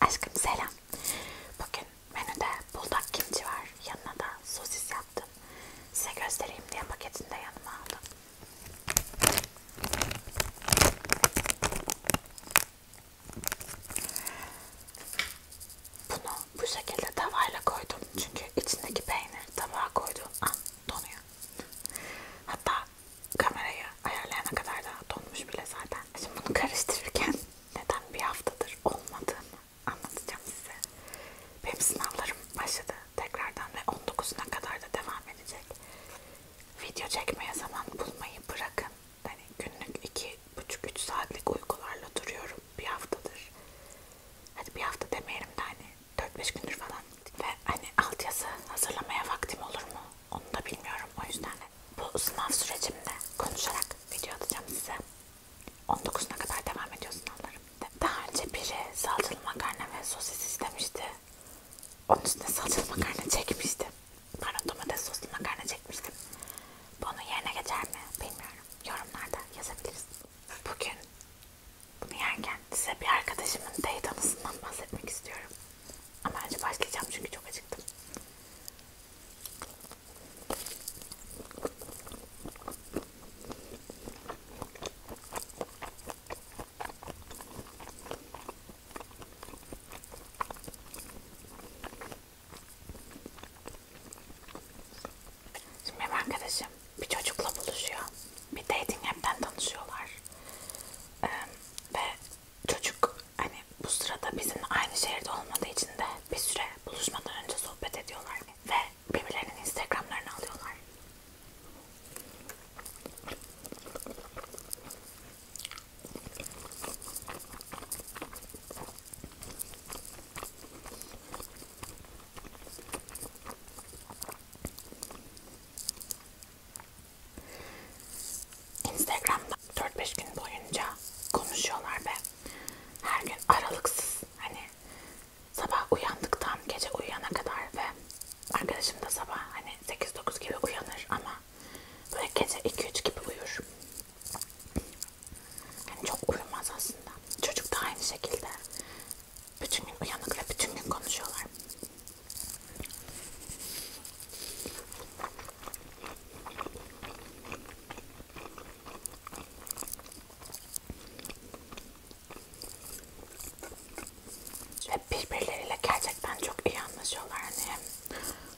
Aşkım selam. Bugün menüde buldak kimchi var. Yanına da sosis yaptım. Size göstereyim diye paketini de yanıma aldım. Bunu bu şekilde tavayla koydum. Çünkü içindeki peynir tabağa koyduğum an donuyor. Hatta kamerayı ayarlayana kadar da donmuş bile zaten. Şimdi bunu karıştırırken neden bir haftadır olmadığını anlatacağım size. Benim sınavlarım başladı tekrardan ve 19'una kadar da devam edecek. Video çekmeye zaman bulmayı bırakın. Hani günlük 2,5-3 saatlik uykularla duruyorum bir haftadır. Hadi bir hafta demeyelim de hani 4-5 gündür falan ve hani altyazı hazırlamaya vaktim olur mu onu da bilmiyorum o yüzden bu sınav sürecimde konuşarak video atacağım size 19'una kadar devam ediyor sınavlarım daha önce biri salçalı makarna ve sosis istemişti onun üstüne salçalı makarna çekmiştim pardon domates soslu makarna çekmiştim bunun yerine geçer mi bilmiyorum yorumlarda yazabiliriz bugün bunu yerken size bir arkadaşımın teyit anısından bahsetmek istiyorum. Ama önce başlayacağım çünkü çok acıktım. Şimdi benim arkadaşım bir çocukla buluşuyor. Bir dating app'ten tanışıyorlar. Ee, ve çocuk hani bu sırada bizim aynı şehirde olmadığı için de bir süre buluşmadan önce sohbet ediyorlar. Ve birbirlerinin instagramlarını alıyorlar. Instagram'da 4-5 gün boyunca konuşuyorlar ve her gün aralıksız hani sabah uyandıktan gece uyuyana kadar ve arkadaşım da sabah hani 8-9 gibi uyanır ama böyle gece 2-3 gibi uyur. Yani çok uyumaz aslında. Çocuk da aynı şekilde bütün gün uyanık ve bütün gün konuşuyorlar. Ve birbirleriyle gerçekten çok iyi anlaşıyorlar. Yani hem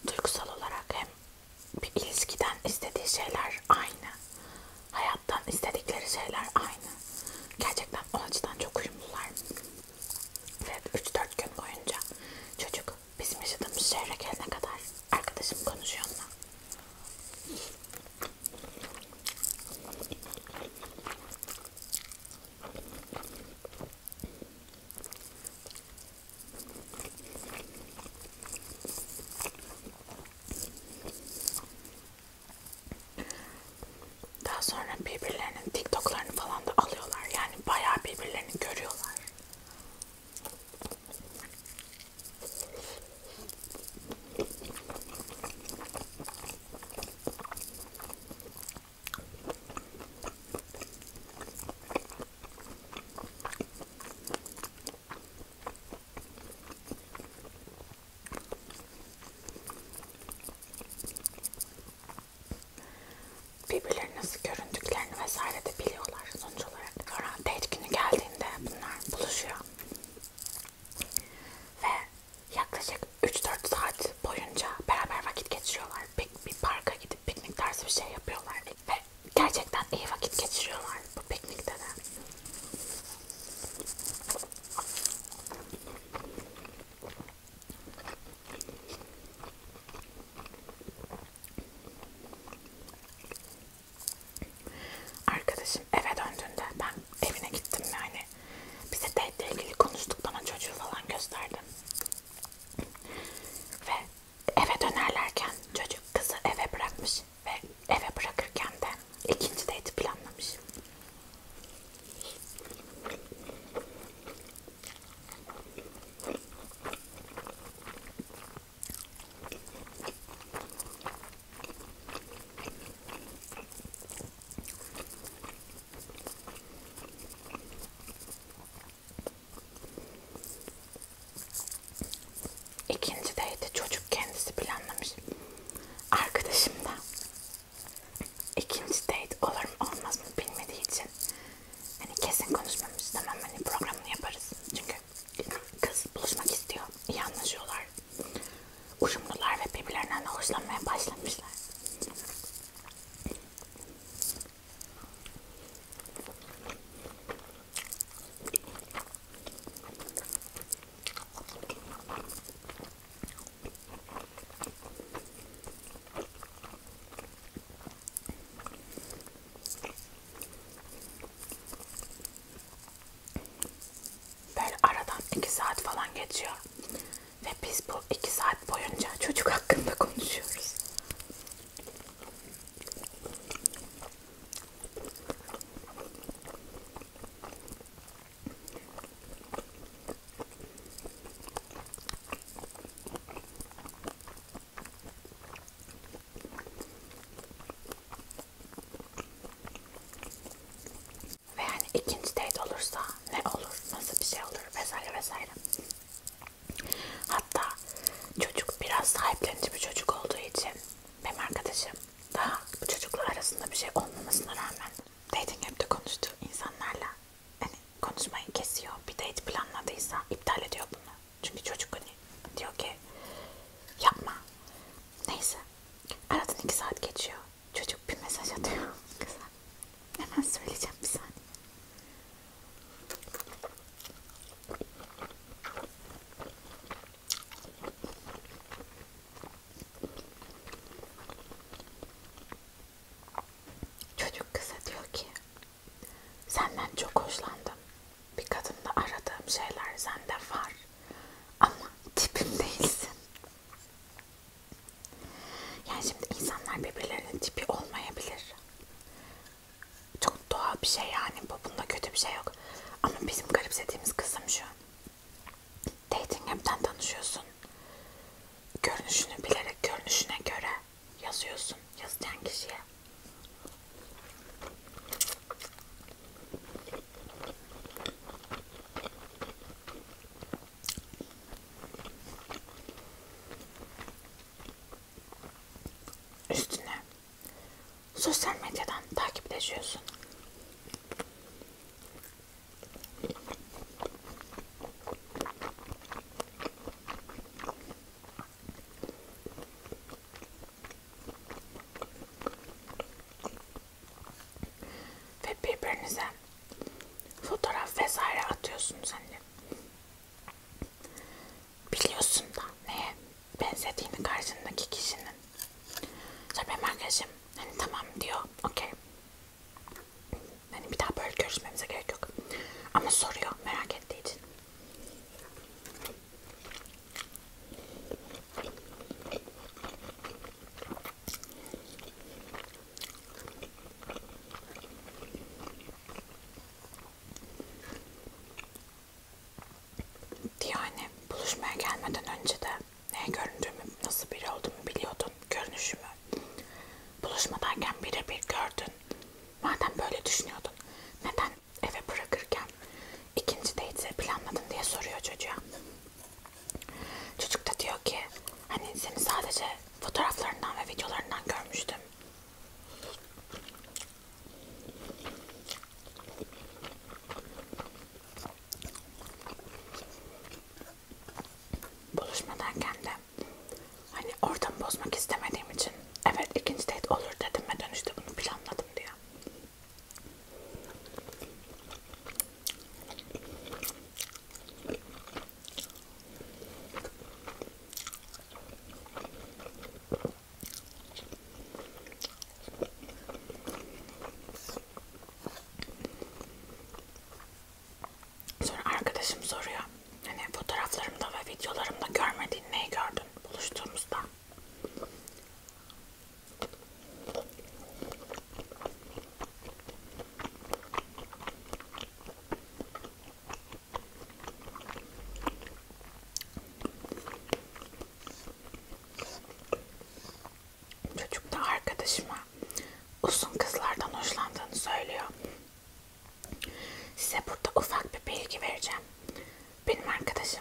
duygusal olarak hem bir ilişkiden istediği şeyler aynı hayattan istedikleri şeyler aynı. Gerçekten o açıdan çok uyumlular. Ve 3-4 gün boyunca çocuk bizim yaşadığımız şehre gelene kadar arkadaşım konuşuyor onunla. Daha sonra birbirlerinin TikTok'larını falan da alıyorlar. Yani bayağı birbirlerini görüyorlar. Birbirleri nasıl göründüklerini vesaire de biliyorlar sonuç olarak. Sonra date günü geldiğinde bunlar buluşuyor. Ve yaklaşık 3-4 saat boyunca beraber vakit geçiriyorlar. Bir, bir parka gidip piknik tarzı bir şey yapıyorlar. Ve ve gerçekten iyi vakit geçiriyorlar bu piknikte de. Arkadaşım eve döndüğünde ben evine gittim yani bize date'le ilgili konuştuk bana çocuğu falan gösterdim ve eve dönerlerken çocuk kızı eve bırakmış ve eve bırakırken de ikinci date planlamış. İkincideydi çocuk kendisi planlamış. Arkadaşım da ikinci date olur mu olmaz mı bilmediği için hani kesin konuşmamış tamam hani programını yaparız çünkü kız buluşmak istiyor iyi anlaşıyorlar uyumlular ve birbirlerinden hoşlanmaya başlamışlar Böyle aradan iki saat falan geçiyor ve biz bu iki saat boyunca çocuk hakkında konuşuyoruz. Ve yani ikinci date olursa ne olur, nasıl bir şey olur vesaire vesaire. Hatta çocuk biraz sahiplenici bir çocuk olduğu için benim arkadaşım daha bu çocuklar arasında bir şey olmamasına rağmen dating app'te konuştuğu insanlarla hani konuşmayı kesiyor. Bir date planladıysa iptal ediyor bunu. Çünkü çocuk hani diyor ki yapma. Neyse. Aradan iki saat geçiyor. Çocuk bir mesaj atıyor. Kıza. Hemen söyleyeceğim bir saniye. Çocuk kıza diyor ki senden çok hoşlandım. Bir kadında aradığım şeyler sende var. Ama tipim değilsin. Yani şimdi insanlar birbirlerinin tipi olmayabilir. Çok doğal bir şey yani bu. Bunda kötü bir şey yok. Ama bizim garipsediğimiz kızım şu. Dating app'ten tanışıyorsun. Görünüşünü bilerek görünüşüne göre yazıyorsun. Yazacağın kişiye. Üstüne sosyal medyadan takipleşiyorsun. Ve birbirinize fotoğraf vesaire atıyorsunuz hani biliyorsun da neye benzediğini karşındaki kişinin sonra benim arkadaşım hani tamam diyor okey hani bir daha böyle görüşmemize gerek yok ama soruyor merak ettiği için yani buluşmaya gelmeden önce de ne göründüğümü, nasıl biri olduğumu biliyordun, görünüşümü. Buluşmadayken birebir gördün. Madem böyle düşünüyordun, neden eve bırakırken ikinci date'i planladın diye soruyor çocuğa. Çocuk da diyor ki hani seni sadece fotoğraflarından ve videolarından görmüştüm. Buluşma derken de hani ortamı bozmak istemediğim için evet ikinci date olur dedim ve dönüşte bunu planladım diyor. Sonra arkadaşım soruyor. Hani fotoğraflarımda ve videolarımda görmediğin neyi gördün buluştuğumuzda? Çocuk da arkadaşıma uzun kızlardan hoşlandığını söylüyor. Size burada ufak bir bilgi vereceğim. Benim arkadaşım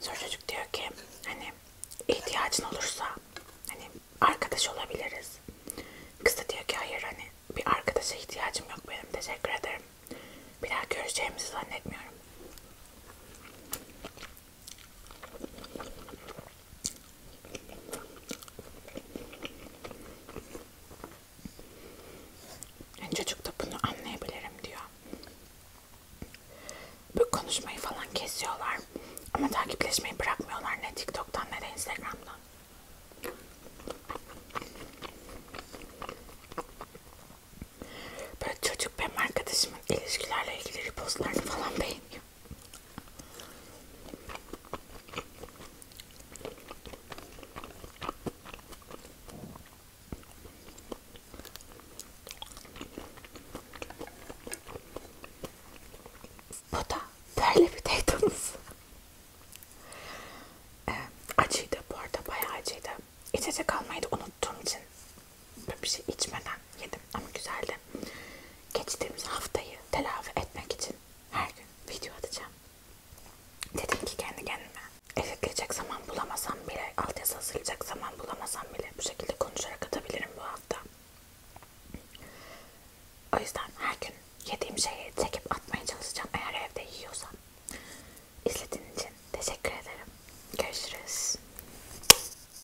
Sonra çocuk diyor ki hani ihtiyacın olursa hani arkadaş olabiliriz. Kız da diyor ki hayır hani bir arkadaşa ihtiyacım yok benim teşekkür ederim. Bir daha göreceğimizi zannetmiyorum. Yani çocuk da bunu anlayabilirim diyor. Bu konuşmayı falan kesiyorlar ama takipleşmeyi bırakmıyorlar ne TikTok'tan ne de Instagram'dan. Böyle çocuk benim arkadaşımın ilişkilerle ilgili repostlarını falan beğeniyor. Bu da böyle bir tattınız. Ee, acıydı bu arada bayağı acıydı. İçecek almayı da unuttuğum için böyle bir şey içmeden yedim ama güzeldi. Geçtiğimiz haftayı telafi etmek için her gün video atacağım. Dedim ki kendi kendime eve girecek zaman bulamasam bile, altyazı hazırlayacak zaman bulamasam bile bu şekilde konuşarak atabilirim bu hafta. O yüzden her gün yediğim şeyi çekip atmaya çalışacağım eğer evde yiyorsam. İzlediğin için teşekkür ederim. Görüşürüz.